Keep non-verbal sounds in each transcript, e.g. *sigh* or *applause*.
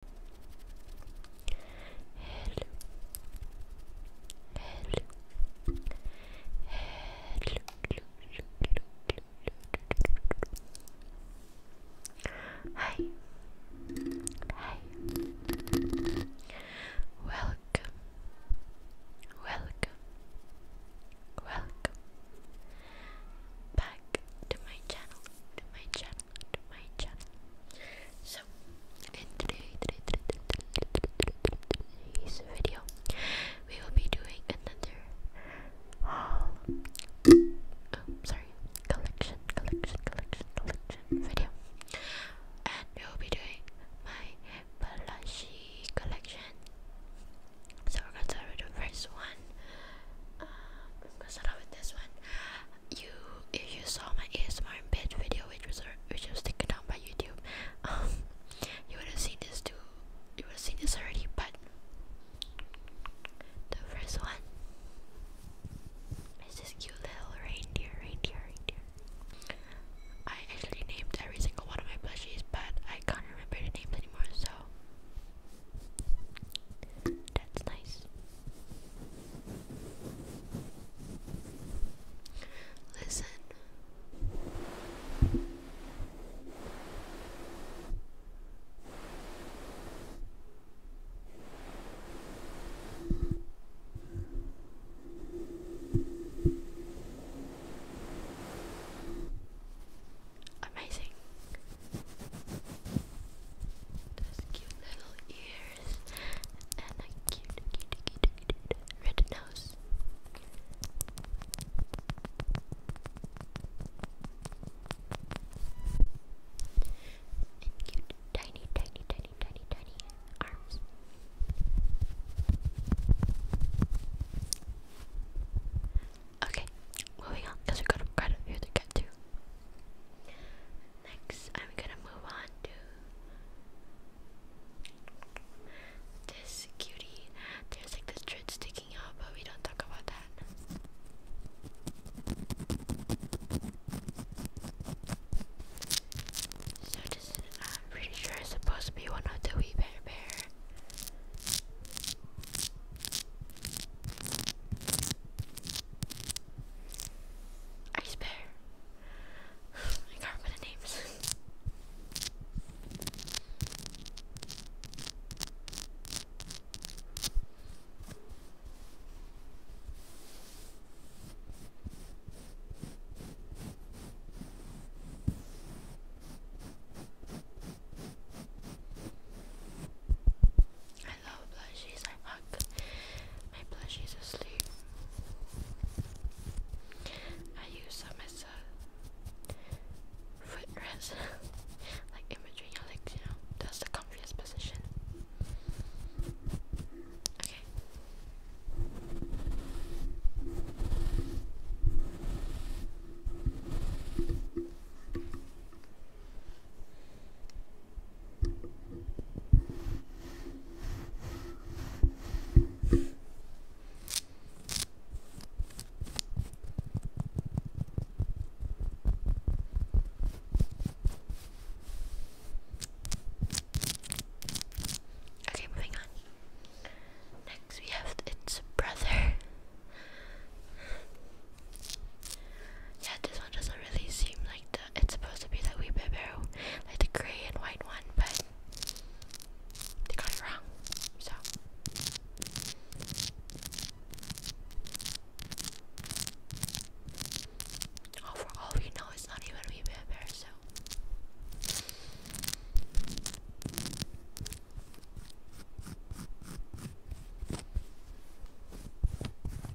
Hello. Hello. Welcome. Welcome. Welcome. Back to my channel. To my channel. So, in today's video, we will be doing another haul. Oh, sorry, collection, collection, collection, collection video, and we will be doing my blushy collection. So we're gonna start with the first one. Um, i gonna start with this one you if you saw my ASMR in video which was uh, which was taken down by YouTube, *laughs* um, you would have seen this too. You would have seen this already, but the first one is this cute little reindeer, reindeer, reindeer. I actually named every single one of my plushies, but I can't remember the names anymore, so that's nice. Listen. Amazing. Those cute little ears and a cute, cute, cute, cute red nose. cute, tiny, tiny, tiny, tiny, tiny arms. Okay, moving on, because we gotta, gotta hear the cat too. Next, I'm gonna move on to this cutie. There's like the dread sticking out, but we don't talk about that. So I'm pretty sure it's supposed to be one of the wee bear bear. Ice bear. *sighs* I can't remember the names. I love plushies. I hug my plushies asleep. I use them as a footrest, *laughs* like in between you know. That's the comfiest position. Okay. Okay, moving on. Next, we have its brother. Yeah, this one doesn't really seem like the. It's supposed to be the wee barrel, like the gray and white one, but they got it wrong. So. Oh, for all we know, it's not even a wee bear, so.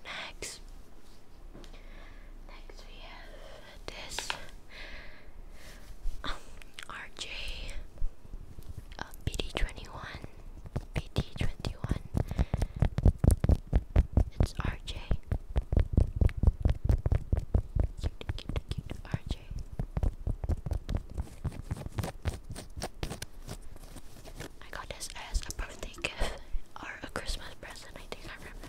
Next, next we have this um, uh, 21 BD21. It's RJ. RJ. I got this as a birthday gift or a Christmas present, I think I remember.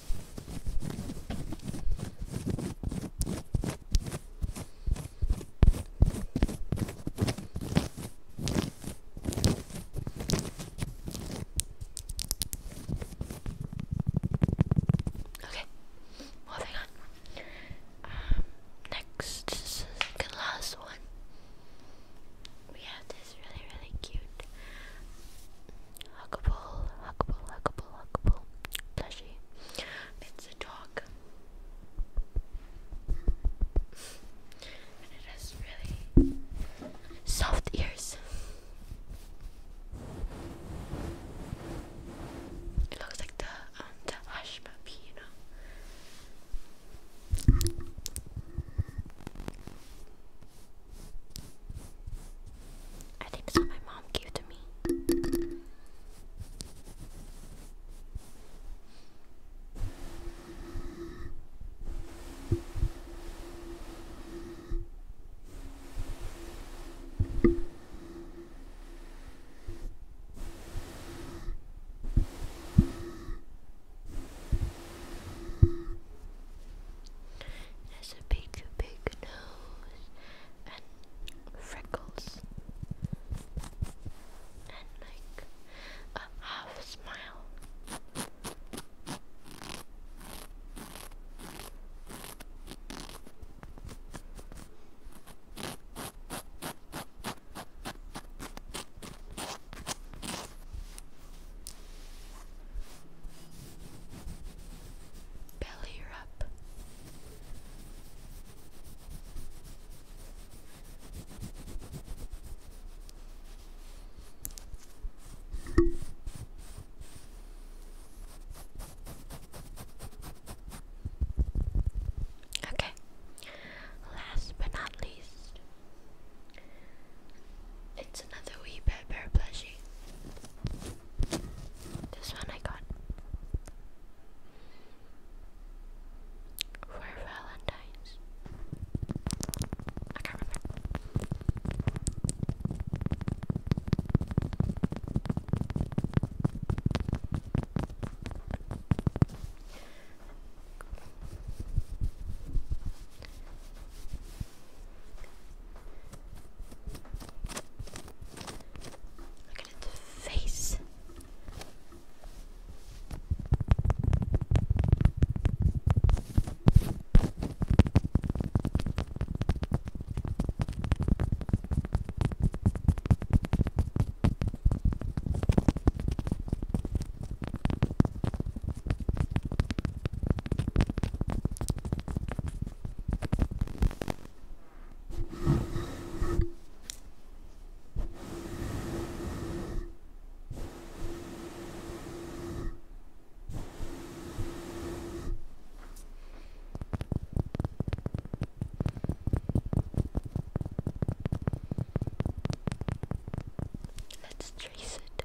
Okay, moving on. Um, next, this last one. We have is really, really cute. Huggable, huggable, huggable, huggable. Plushie. It's a dog. And it has really soft ears. It looks like the um the hush puppy, you know. I think it's what my mom gave to me has a big, big nose and freckles and like a half smile. Belly up. Okay, last but not least, it's another wee pepper plushie. This one I got for Valentine's. I can't remember. Look at its face. Let's trace it.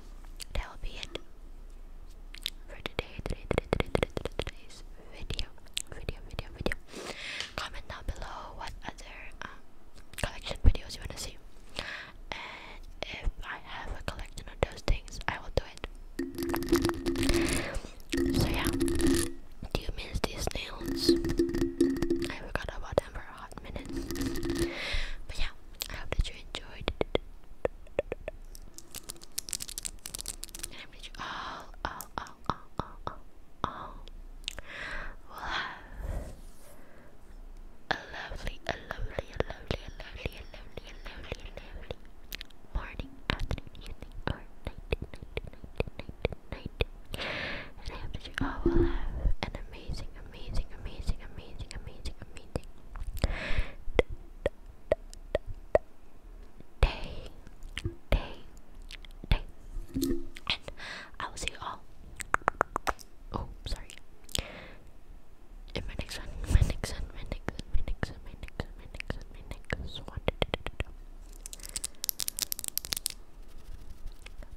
that'll be it for today's video, video, video, video. Comment down below what other um, collection videos you wanna see, and if I have a collection of those things, I will do it. So yeah, do you miss these nails? I forgot about them for a hot minute. But yeah, I hope that you enjoyed and I bet all, all, all, all, all, all, will have a lovely, a lovely, a lovely, a lovely, a lovely, a lovely, lovely morning, afternoon, And I hope all will have an amazing, amazing, amazing, amazing, amazing, amazing day, day, day. And I will see you all. Oh, sorry. In my next one, my next one, my next one, my next one, my next one, my next one, my next one.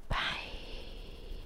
Bye.